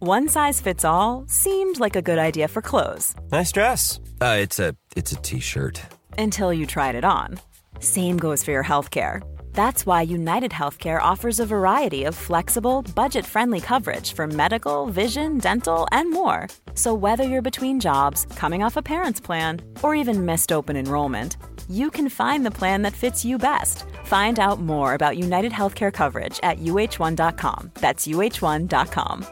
One size fits all seemed like a good idea for clothes. Nice dress. Uh, it's a it's a t-shirt. Until you tried it on. Same goes for your healthcare. That's why United Healthcare offers a variety of flexible, budget-friendly coverage for medical, vision, dental, and more. So whether you're between jobs, coming off a parent's plan, or even missed open enrollment, you can find the plan that fits you best. Find out more about United Healthcare coverage at uh1.com. That's uh1.com.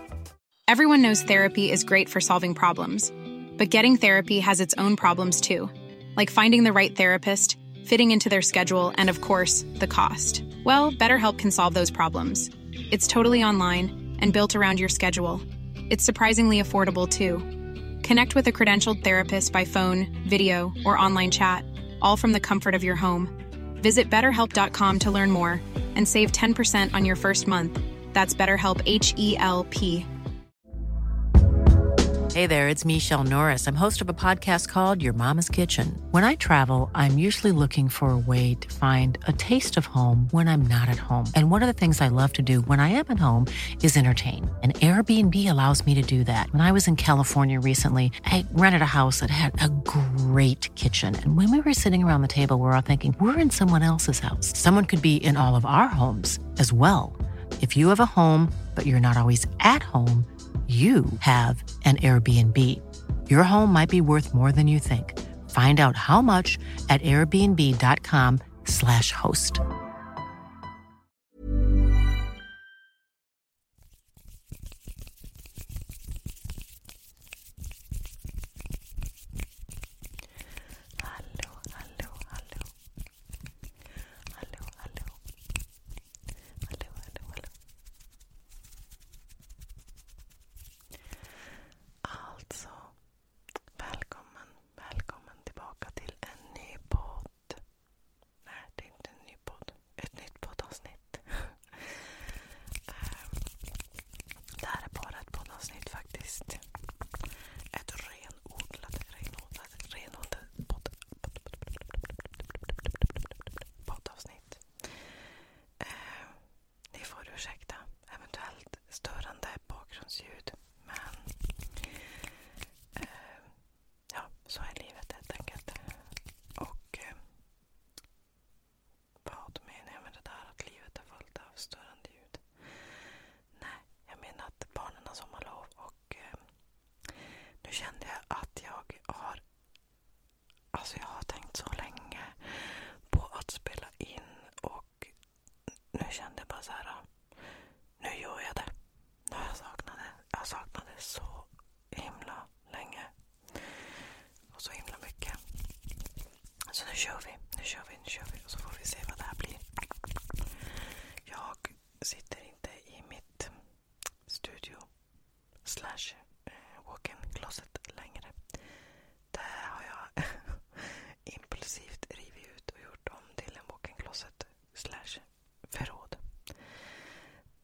Everyone knows therapy is great for solving problems, but getting therapy has its own problems too, like finding the right therapist, fitting into their schedule, and of course, the cost. Well, BetterHelp can solve those problems. It's totally online and built around your schedule. It's surprisingly affordable too. Connect with a credentialed therapist by phone, video, or online chat, all from the comfort of your home. Visit betterhelp.com to learn more and save 10% on your first month. That's BetterHelp H E L P. Hey there, it's Michelle Norris. I'm host of a podcast called Your Mama's Kitchen. When I travel, I'm usually looking for a way to find a taste of home when I'm not at home. And one of the things I love to do when I am at home is entertain. And Airbnb allows me to do that. When I was in California recently, I rented a house that had a great kitchen. And when we were sitting around the table, we we're all thinking, we're in someone else's house. Someone could be in all of our homes as well. If you have a home, but you're not always at home, you have an Airbnb. Your home might be worth more than you think. Find out how much at airbnb.com/slash host. Hallå, hallå, hallå. Hallå, hallå. Hallå, hallå, hallå. Alltså, välkommen, välkommen tillbaka till en ny podd. Nej, det är inte en ny podd. Ett nytt poddavsnitt. Ehm, det här är bara ett poddavsnitt faktiskt. Ett renodlat, poddavsnitt. Ehm, ni får ursäkta eventuellt störande bakgrundsljud. Men eh, ja, så är livet helt enkelt. Och eh, vad menar jag med det där att livet är fullt av störande ljud? Nej, jag menar att barnen har sommarlov och eh, nu kände jag att jag har Alltså jag har tänkt så länge på att spela in och nu kände jag bara så här. Ah, nu gör jag det. Nu har jag saknat det. Jag saknade så himla länge. Och så himla mycket. Så nu kör vi, nu kör vi, nu kör vi. Och så får vi se vad det här blir. Jag sitter inte i mitt studio slash eh, walk-in closet längre. Det har jag impulsivt rivit ut och gjort om till en walk-in closet slash förråd.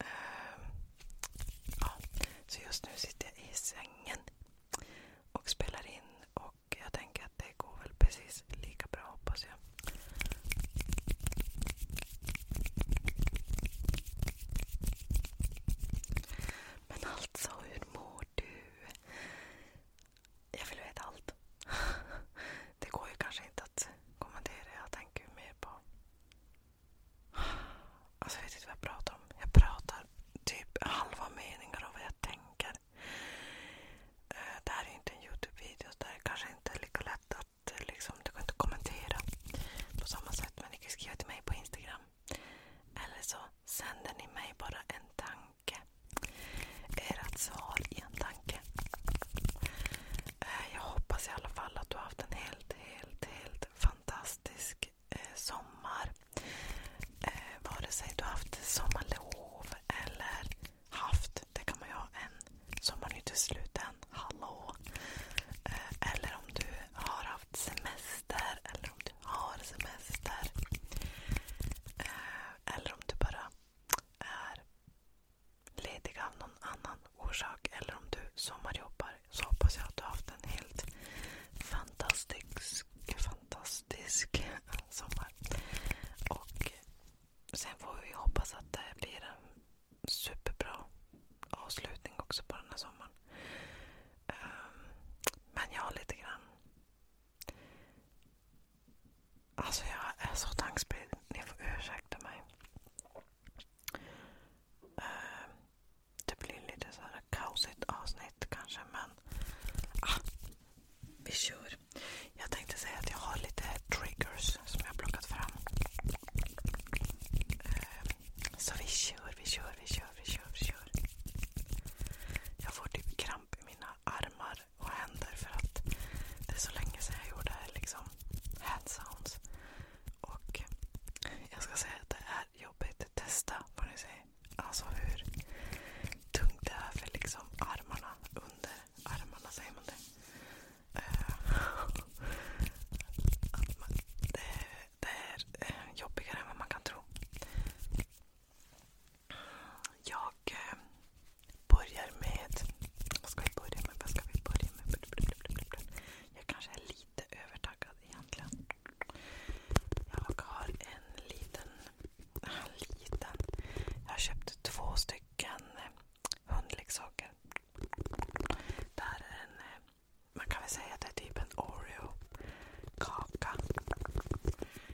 Uh, ja. Så just nu sitter jag i sängen och spelar in och jag tänker att det går väl precis lika bra hoppas jag. Men alltså, hur mår du? Jag vill veta allt. Det går ju kanske inte att kommentera. Jag tänker mer på Alltså jag vet inte vad jag pratar om. Jag pratar typ halva meningar om vad jag tänker. Eh, det här är inte en Youtube-video så det är kanske inte är lika lätt att eh, liksom, du kan inte kommentera på samma sätt. Men ni kan skriva till mig på Instagram. Eller så sänder ni mig bara en tanke. Ert svar i en tanke. Eh, jag hoppas i alla fall att du har haft en hel helt, helt, helt fantastisk eh, sommar. Eh, vare sig du haft sommarlov eller haft, det kan man ju ha en sommar är inte slut än, hallå. Eh, eller om du har haft semester eller om du har semester. Eh, eller om du bara är ledig av någon annan orsak eller om du sommarjobbar så hoppas jag att du har haft en helt fantastisk, fantastisk sommar. Och sen får vi hoppas att det blir en superbra avslutning också på den här sommaren. Ehm, men jag har lite grann... Alltså jag är så tankspridd. Ni får ursäkta mig. Eh, det blir lite så här kaosigt avsnitt kanske men ah, vi kör. Jag tänkte säga att jag har lite triggers som jag har plockat fram. Eh, så vi kör, vi kör, vi kör, vi kör, vi kör. Jag får typ kramp i mina armar och händer för att det är så länge sedan jag gjorde liksom hand sounds. Och jag ska säga att det är jobbigt. Testa vad ni säger. Alltså hur tungt det är för liksom armarna. Under armarna säger man det. Eh, det är, det eh, är jobbigare än vad man kan tro. Jag eh, börjar med... Vad ska vi börja med? Vad ska vi börja med? Jag kanske är lite övertaggad egentligen. Jag har en liten... En liten. Jag två stycken eh, hundleksaker. Där en... Eh, man kan väl säga att det är typ en oreo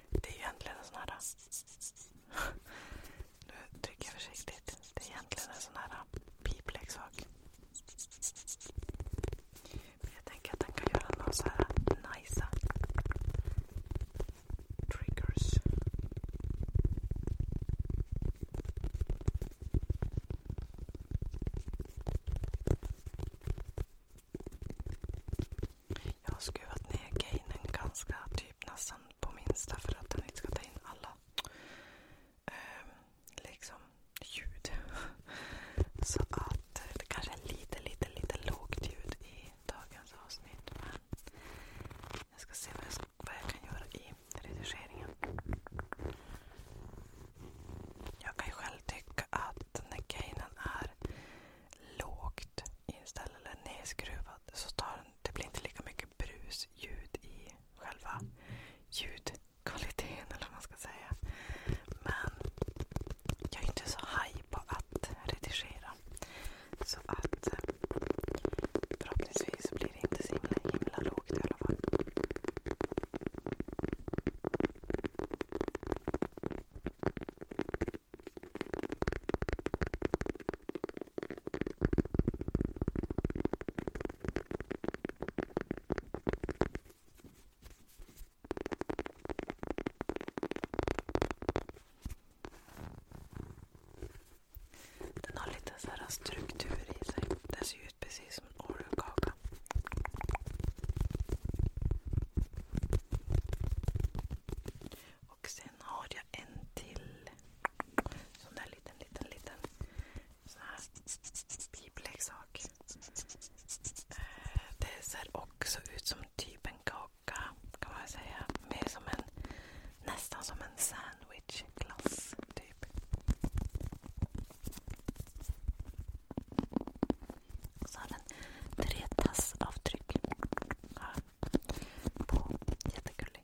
Det är egentligen en sån här... Nu trycker jag försiktigt. Det är egentligen en sån här äh, pipleksak. Men jag tänker att den kan göra några så här äh, nice äh, triggers. Jag har skruvat ner gainen ganska typ nästan på minsta för att den inte ska ta in alla eh, liksom ljud. Så att eh, det kanske är lite, lite, lite lågt ljud i dagens avsnitt. jag ska se vad jag, kan göra i redigeringen. Jag kan ju själv tycka att när gainen är lågt inställd eller nedskruvad så tar den, det blir inte lika mycket brusljud i själva ljudkvaliteten eller vad man ska säga. Men jag är inte så haj på att redigera. Så att eh, förhoppningsvis blir det inte så himla, himla lågt i alla fall. Den har lite så här struktur i sig. Den ser ut precis som en Oreo-kaka. Och sen har jag en till sån där liten, liten, liten Bibelexak. Eh, det ser också ut som typ en kaka, kan man säga. Mer som en, nästan som en sandwichglass, typ. Och så har den tre tassavtryck. Ja. På. Jättegullig.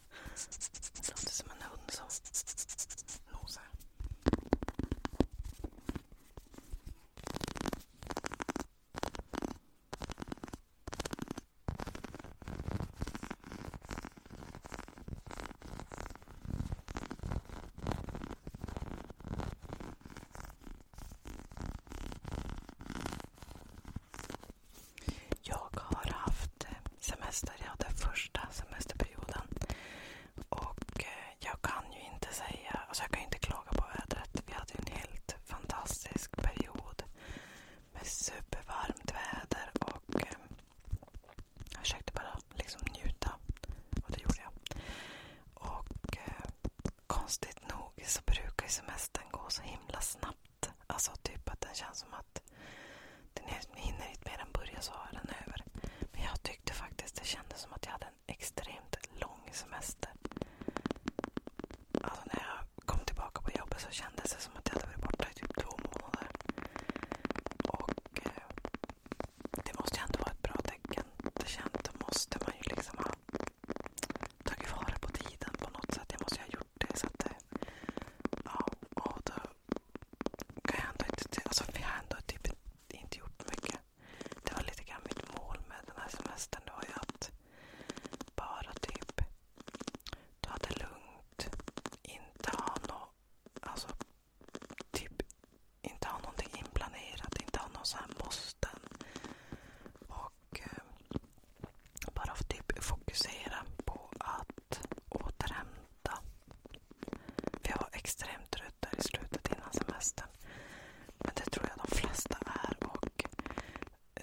Det låter som en hund som nosar. Jag har haft eh, semester. Jag hade första semesterperioden. Och eh, jag kan ju inte säga, alltså jag kan inte klaga på vädret. Vi hade en helt fantastisk period med supervarmt väder. och eh, Jag försökte bara liksom njuta och det gjorde jag. Och Konstigt nog så brukar ju semestern gå så himla snabbt lätt. Alltså typ att den känns som att den hinner inte mer än börja så är den över. Men jag tyckte faktiskt det kändes som att jag hade en extremt lång semester. Alltså när jag kom tillbaka på jobbet så kändes det som att jag hade varit borta i typ två månader. Och eh, det måste ju ändå vara ett bra tecken. Det känns, då måste man ju liksom ha tagit vara på tiden på något sätt. Jag måste ju ha gjort det. Så att, eh, ja, och då kan jag ändå inte... Alltså, vi har ändå typ inte gjort mycket. Det var lite grann mitt mål med den här semestern. Det var ju att bara typ ta det lugnt. Inte ha något... Alltså, typ inte ha någonting inplanerat. Inte ha någon sån här måsten. Bara typ fokusera på att återhämta. jag var extremt trött i slutet innan semestern. Men det tror jag de flesta är.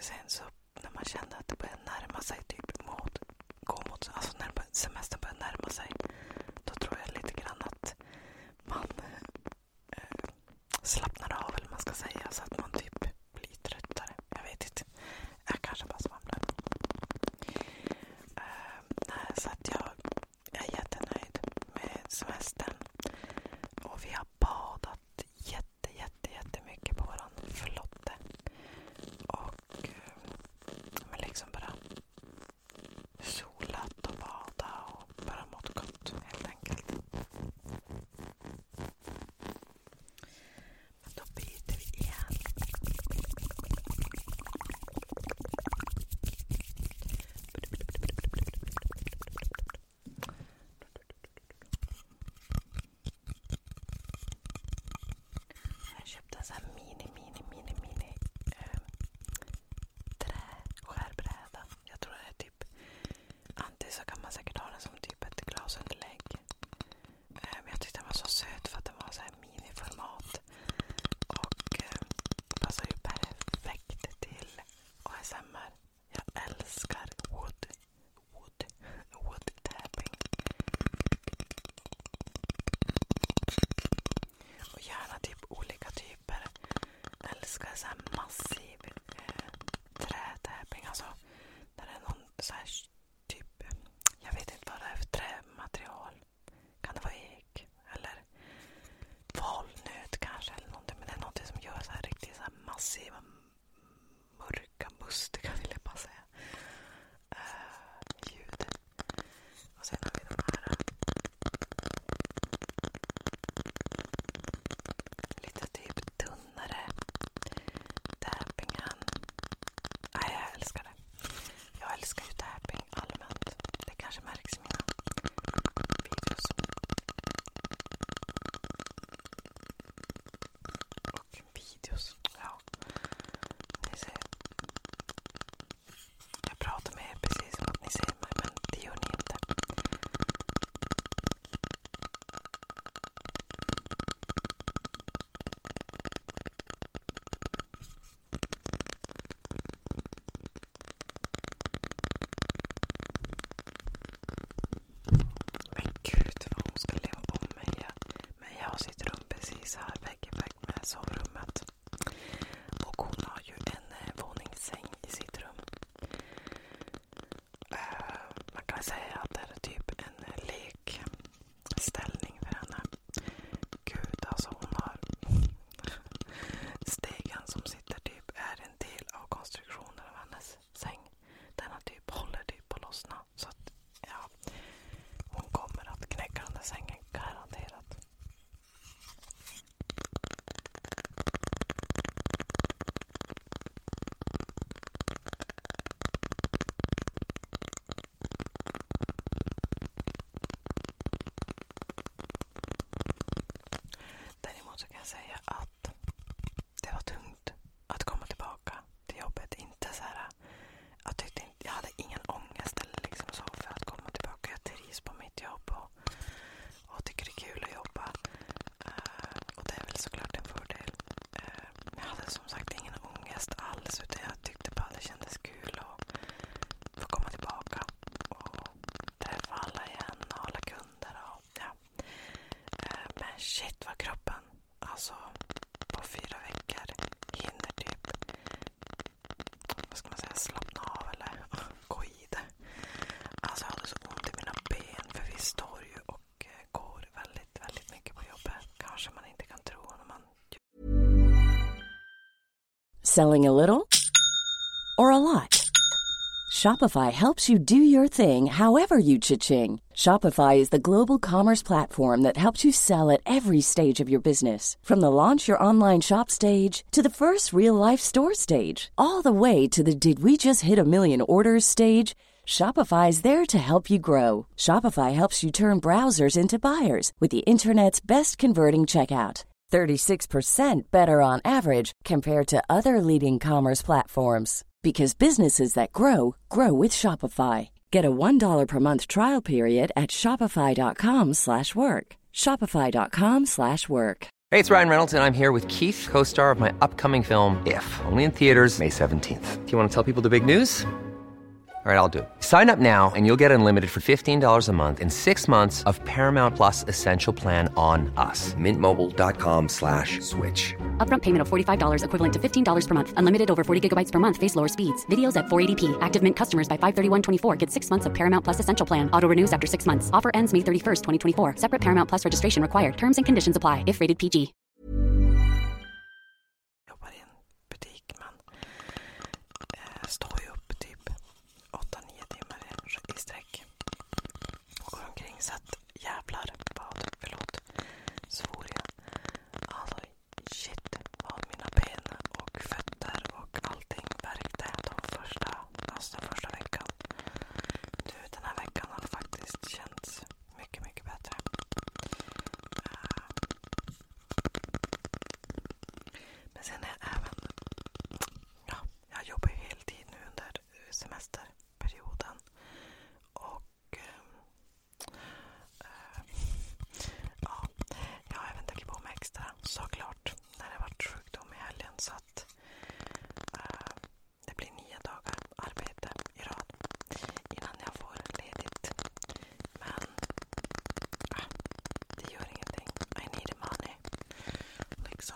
sen när man kände att det började närma sig typ alltså när semestern började närma sig. Då tror jag lite grann att man eh, slappnar av eller man ska säga. Så att man typ bli tröttare. Jag vet inte. Jag kanske bara svamlar. Ehm, uh, så att jag, jag är jättenöjd med semestern. Och vi har badat jätte, jätte, jättemycket på vår flotte. Och men eh, liksom bara solat och badat och bara mått gott helt enkelt. Då byter vi igen. Jag köpte en sån här mini, mini, mini, ehm, träskärbräda. Typ Antingen så kan man säkert ha den som typ ett glasunderlägg. Eh, jag tyckte den var så söt för att den var så miniformat. Och eh, passar ju perfekt till ASMR. Jag älskar wood. Wood. Wood tapping. Och gärna typ olika typer. Jag älskar massiv eh, trätäpping. Alltså, när det är någon så här Typ, jag vet inte vad det är för trämaterial. Kan det vara ek? Eller valnöt kanske? eller någonting. Men det är någonting som gör så här riktigt så här massiva, mörka, mustiga vill jag bara säga. Uh, ljud. Och sen har vi de här. Eh, lite typ tunnare tappingen. Nej, jag älskar det. Jag älskar ju tapping allmänt. Det kanske märks i mina videos. Och videos, ja. Ni ser. Jag pratar med er precis som att ni ser mig, men det gör ni inte. Men gud vad hon ska leva om mig. Men jag har sitt rum precis här vägg i vägg med sovrummet. Och hon har ju en eh, våningssäng i sitt rum. Eh, man kan säga att det är typ en eh, lek ställning för henne. Gud alltså hon har... Stegen som sitter typ är en del av konstruktionen av hennes säng. Denna typ, håller typ på att lossna. Så att, ja, hon kommer att knäcka den där sängen garanterat. Däremot så kan jag säga att det var tungt att komma tillbaka till jobbet. jag, hade ingen ångest liksom för att komma tillbaka. Jag trivs på mitt jobb och, tycker det är kul att jobba. Eh, och det är väl såklart en fördel jag hade som sagt ingen ångest alls. Utan jag tyckte bara det kändes kul att få komma tillbaka och träffa alla igen och alla kunder. Och, ja. Eh, men shit vad kroppen, alltså på fyra veckor hinner typ vad ska man säga, slappna av eller gå i det. Alltså jag hade så ont i mina ben för vi står ju och Eh, Selling a little or a lot? Shopify helps you do your thing however you cha-ching. Shopify is the global commerce platform that helps you sell at every stage of your business. From the launch your online shop stage to the first real life store stage, all the way to the did we just hit a million orders stage. Shopify is there to help you grow. Shopify helps you turn browsers into buyers with the internet's best converting checkout. 36% better on average compared to other leading commerce platforms because businesses that grow grow with Shopify. Get a $1 per month trial period at shopify.com/work. shopify.com/work. Hey, it's Ryan Reynolds and I'm here with Keith, co-star of my upcoming film If, only in theaters May 17th. Do you want to tell people the big news? All right, I'll do Sign up now and you'll get unlimited for $15 a month in six months of Paramount Plus Essential Plan on us. Mintmobile.com slash switch. Upfront payment of $45 equivalent to $15 per month. Unlimited over 40 gigabytes per month. Face lower speeds. Videos at 480p. Active Mint customers by 531.24 get six months of Paramount Plus Essential Plan. Auto renews after six months. Offer ends May 31st, 2024. Separate Paramount Plus registration required. Terms and conditions apply if rated PG. jobbar i en butik. Man eh, står ju upp typ 8-9 timmar i sträck och går omkring. Så att jävlar vad, förlåt, svor jag. Alltså shit vad mina ben och fötter och allting värkte de första, alltså första veckan. Du, den här veckan har faktiskt känts mycket, mycket bättre. Eh, men sen är även... Ja, jag jobbar ju heltid nu under semesterperioden. Och... Eh, eh, jag har även tagit på mig extra såklart när det varit sjukdom i helgen. Så att uh, det blir nio dagar arbete i rad innan jag får ledigt. Men äh, det gör ingenting. I need money. Liksom.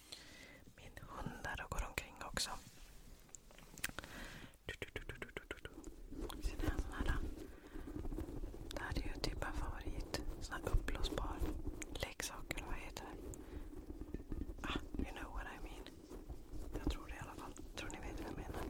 Min hund där och går omkring också. Ser ni en sån här? Det här är ju typ en favorit. Sån här uppblåsbar leksak eller vad heter det? Ah, you know what I mean. Jag tror det i alla fall. Tror ni vet vad jag menar?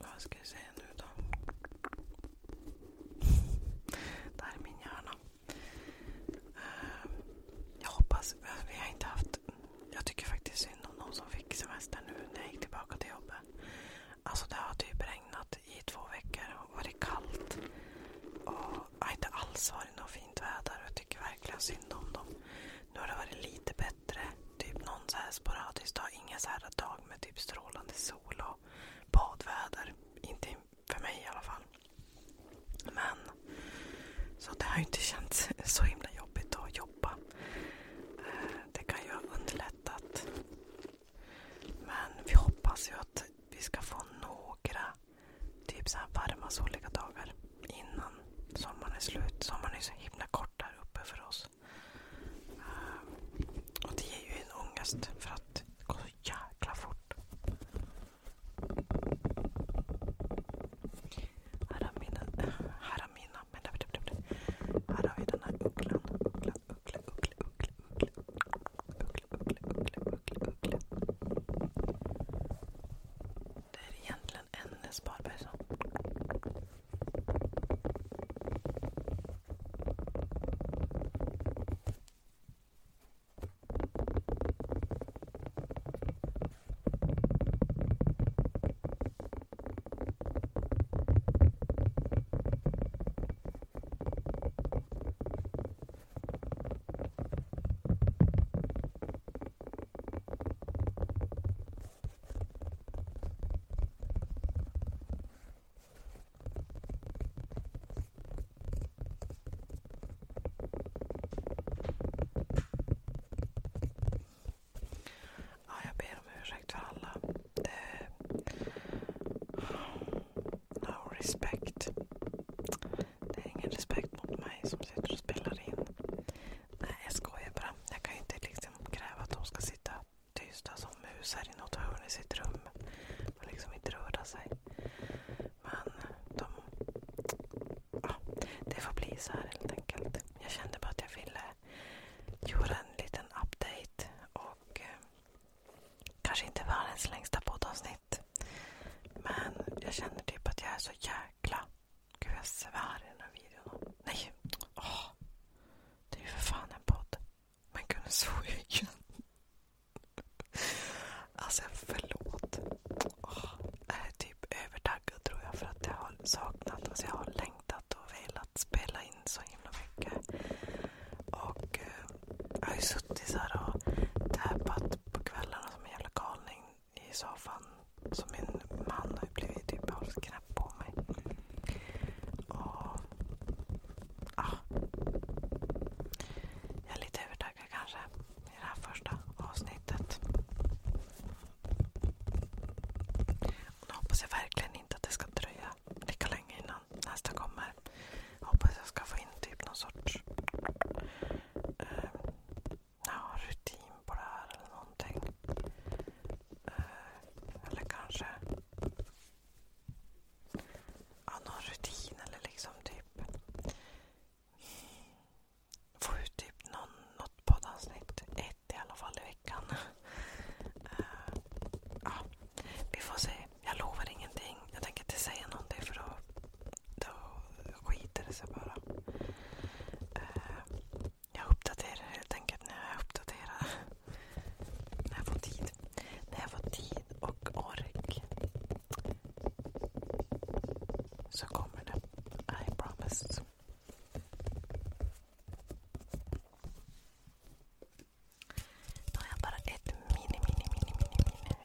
Vad ska jag säga nu då? Det här är min hjärna. Eh, jag hoppas, vi har inte haft... Jag tycker faktiskt synd om någon som fick semester nu när jag gick tillbaka till jobbet. Alltså det har typ regnat i två veckor och varit kallt. Och har inte alls varit något fint väder. Och jag tycker verkligen synd om dem. Nu har det varit lite bättre. Typ någon så här sporadisk dag. Inga så här dag med typ strålande sol och badväder. Inte för mig i alla fall. Men så det har ju inte känts så himla jobbigt att jobba. Eh, det kan ju ha underlättat. Men vi hoppas ju att vi ska få några typ så här varma soliga dagar innan sommaren är slut. Sommaren är så himla kort här uppe för oss. Eh, och det ger ju en ångest för att det går så jäkla fort. Här har, mina, här har, mina, här har vi den här ugglan. Uggla, uggla, uggla, uggla, uggla, uggla, uggla, uggla, uggla. Uggla Uggla. Det är egentligen en sparbössa jag ber om ursäkt för alla. No respect. Det är ingen respekt mot mig som sitter och spelar in. jag skojar bara. Jag kan ju inte liksom kräva att de ska sitta tysta som mus i något hörn i sitt rum och liksom inte röra sig. det får bli så här helt enkelt. Jag kände bara att jag ville göra en liten update eh, kanske inte världens längsta poddavsnitt. Men jag känner typ att jag är så jäkla... Gud, jag svär i den här videon. Nej! Åh. Det är ju för fan en podd. Men gud, nu svor jag igen. Alltså, förlåt. Åh. Jag är typ övertaggad tror jag för att jag har saknat, alltså jag har längtat och velat spela in så himla mycket. Och eh, jag har ju suttit så här och täpat på kvällarna som en jävla galning i soffan som min man har blivit typ halsknäpp på mig. Och, ja. Jag är lite övertaggad kanske i det här första avsnittet. Och nu hoppas jag verkligen inte att det ska dröja lika länge innan nästa kommer. Jag hoppas jag ska få in typ någon sorts eh, ja, rutin på det här eller någonting. Eh, eller kanske någon rutin liksom typ få ut typ något poddavsnitt. Ett i alla fall i veckan. Eh, vi får se. Jag lovar ingenting. Jag tänker inte säga någonting för att då skiter det sig bara. Eh, jag uppdaterar helt enkelt när jag uppdaterar. när jag får tid. När jag får tid och ork så kommer det. I promise. Då har jag bara ett mini, mini, mini, mini, mini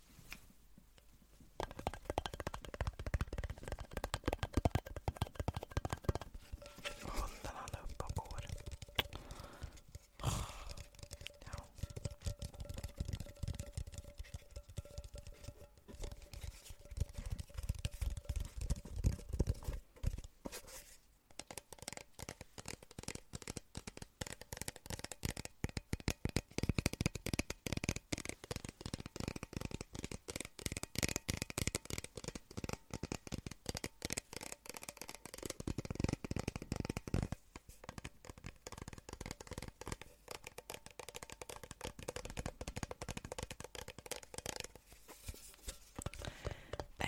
Hunden han är uppe och går. Ja.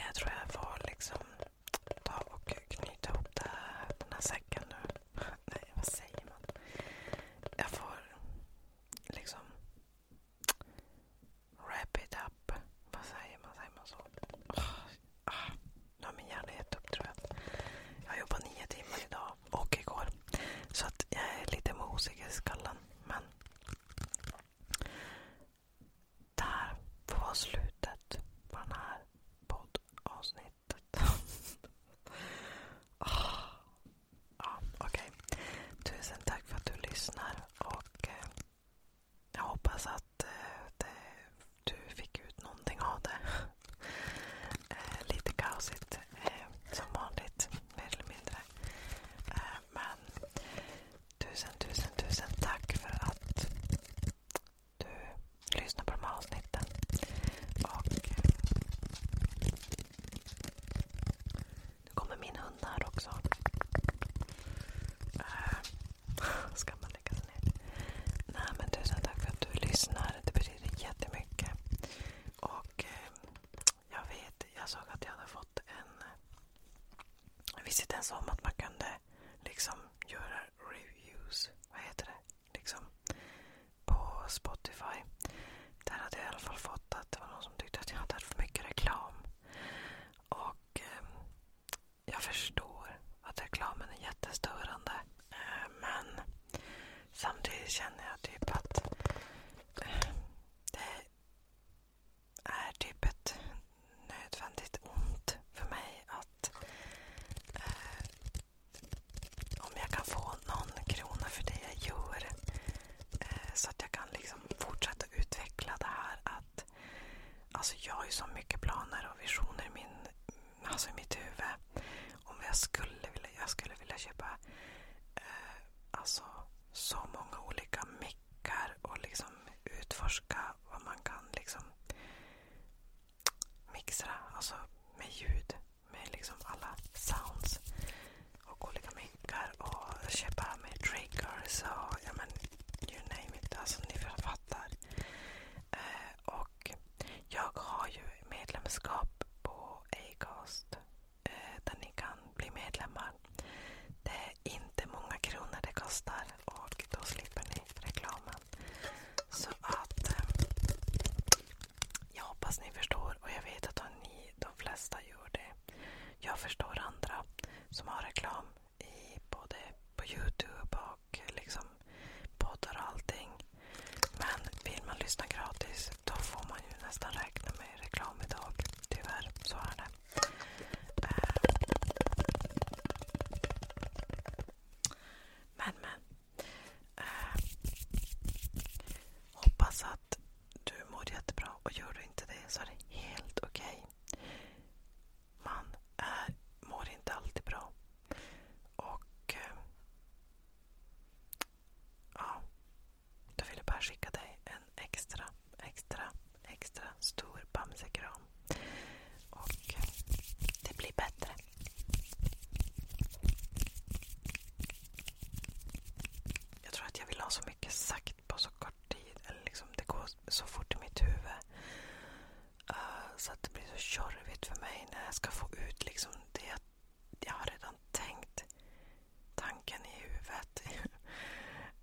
Jag tror jag var liksom ta och knyta ihop den här säcken nu. Nej, vad säger man? Jag får liksom wrap it up. Vad säger man? Säger man så? nu ah, har ah. min hjärna gett upp tror jag. Jag jobbar nio timmar idag och igår. Så att jag är lite mosig i skallen. Men där får vara slutet på den här poddavsnittet slutet. ja, okay. Tusen tack för att du lyssnar. och eh, Jag hoppas att eh, det, du fick ut någonting av det. eh, lite kaosigt eh, som vanligt, mer eller mindre. Eh, men tusen, tusen, tusen tack för att du lyssnar på de här avsnitten. Och eh, nu kommer min hund här också. Eh, ska man lägga sig ner? Nej, men tusen tack för att du lyssnar. Det betyder jättemycket. Och eh, jag vet, jag såg att jag hade fått en... Jag visste inte ens om att man kunde liksom göra reviews. Vad heter det? Liksom, på Spotify. Där hade jag i alla fall fått att det var någon som tyckte att jag hade för mycket reklam. Och eh, jag förstår att reklamen är jättestörande. Eh, men samtidigt känner jag typ att eh, det är typ ett nödvändigt ont för mig att eh, om jag kan få någon krona för det jag gör eh, så att jag kan liksom fortsätta utveckla det här. Att, alltså jag har ju så mycket planer och visioner i, min, alltså i mitt huvud. Om jag skulle vilja, jag skulle vilja köpa eh, alltså så många olika mickar och liksom utforska vad man kan liksom mixtra, alltså med ljud, med liksom alla sounds och olika mickar och köpa med triggers och ja men you name it, alltså ni fattar. Eh, och jag har ju medlemskap på Acast eh, där ni kan bli medlemmar. Det är inte många kronor det kostar och då slipper ni reklamen. Så att eh, jag hoppas ni förstår och jag vet att ni, de flesta gör det. Jag förstår andra som har reklam i både på Youtube och liksom poddar och allting. Men vill man lyssna gratis då får man ju nästan räkna med reklam idag. Tyvärr, så är det. Eh, men men. Eh, hoppas att du mår jättebra och gör du inte det så är det helt okej. Okay. Man är, eh, mår inte alltid bra. Och eh, ja, då vill jag bara skicka dig en extra, extra, extra stor bamsekram. Och det blir bättre. Jag tror att jag vill ha så mycket sagt på så kort tid. Liksom, det går så fort i mitt huvud. Eh, så det blir så tjorvigt för mig när jag ska få ut liksom det jag, redan tänkt. Tanken i huvudet.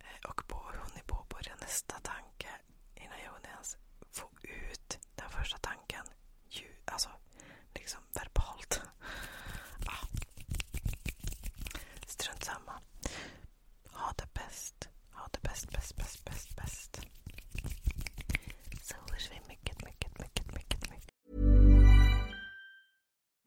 Eh, och på, hon är på nästa tanke.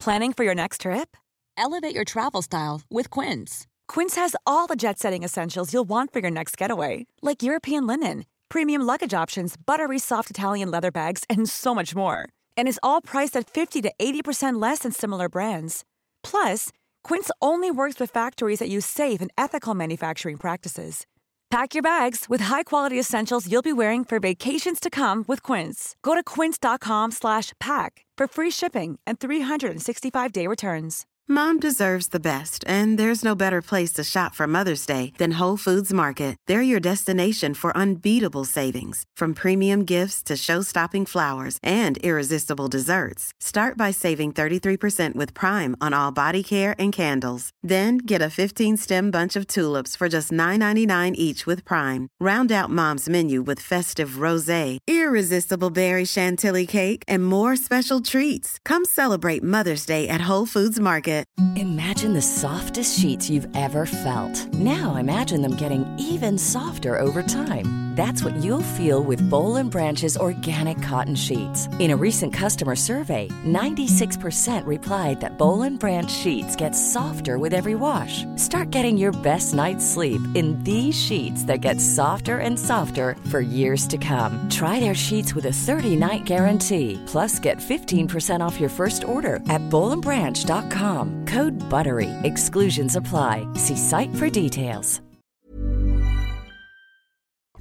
Planning for your next trip? Elevate your travel style with Quince. Quince has all the jet setting essentials you'll want for your next getaway like European linen, premium luggage options, buttery soft Italian leather bags, and so much more. And is all priced at 50 to 80% less than similar brands. Plus, Quince only works with factories that use safe and ethical manufacturing practices. Pack your bags with high-quality essentials you'll be wearing for vacations to come with Quince. Go to quince.com/pack for free shipping and 365-day returns. Mom deserves the best, and there's no better place to shop for Mother's Day than Whole Foods Market. They're your destination for unbeatable savings, from premium gifts to show-stopping flowers and irresistible desserts. Start by saving 33% with Prime on all body care and candles. Then get a 15-stem bunch of tulips for just $9.99 each with Prime. Round out Mom's menu with festive rosé, irresistible berry chantilly cake, and more special treats. Come celebrate Mother's Day at Whole Foods Market. Imagine the softest sheets you've ever felt. Now imagine them getting even softer over time. That's what you'll feel with Bowl and Branch's organic cotton sheets. In a recent customer survey, 96% replied that Bowl and Branch sheets get softer with every wash. Start getting your best night's sleep in these sheets that get softer and softer for years to come. Try their sheets with a 30-night guarantee. Plus, get 15% off your first order at bowlandbranch.com. Code BUTTERY. Exclusions apply. See site for details.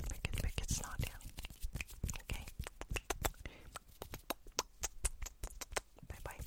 Make it, make it snot down. Okay. Bye-bye.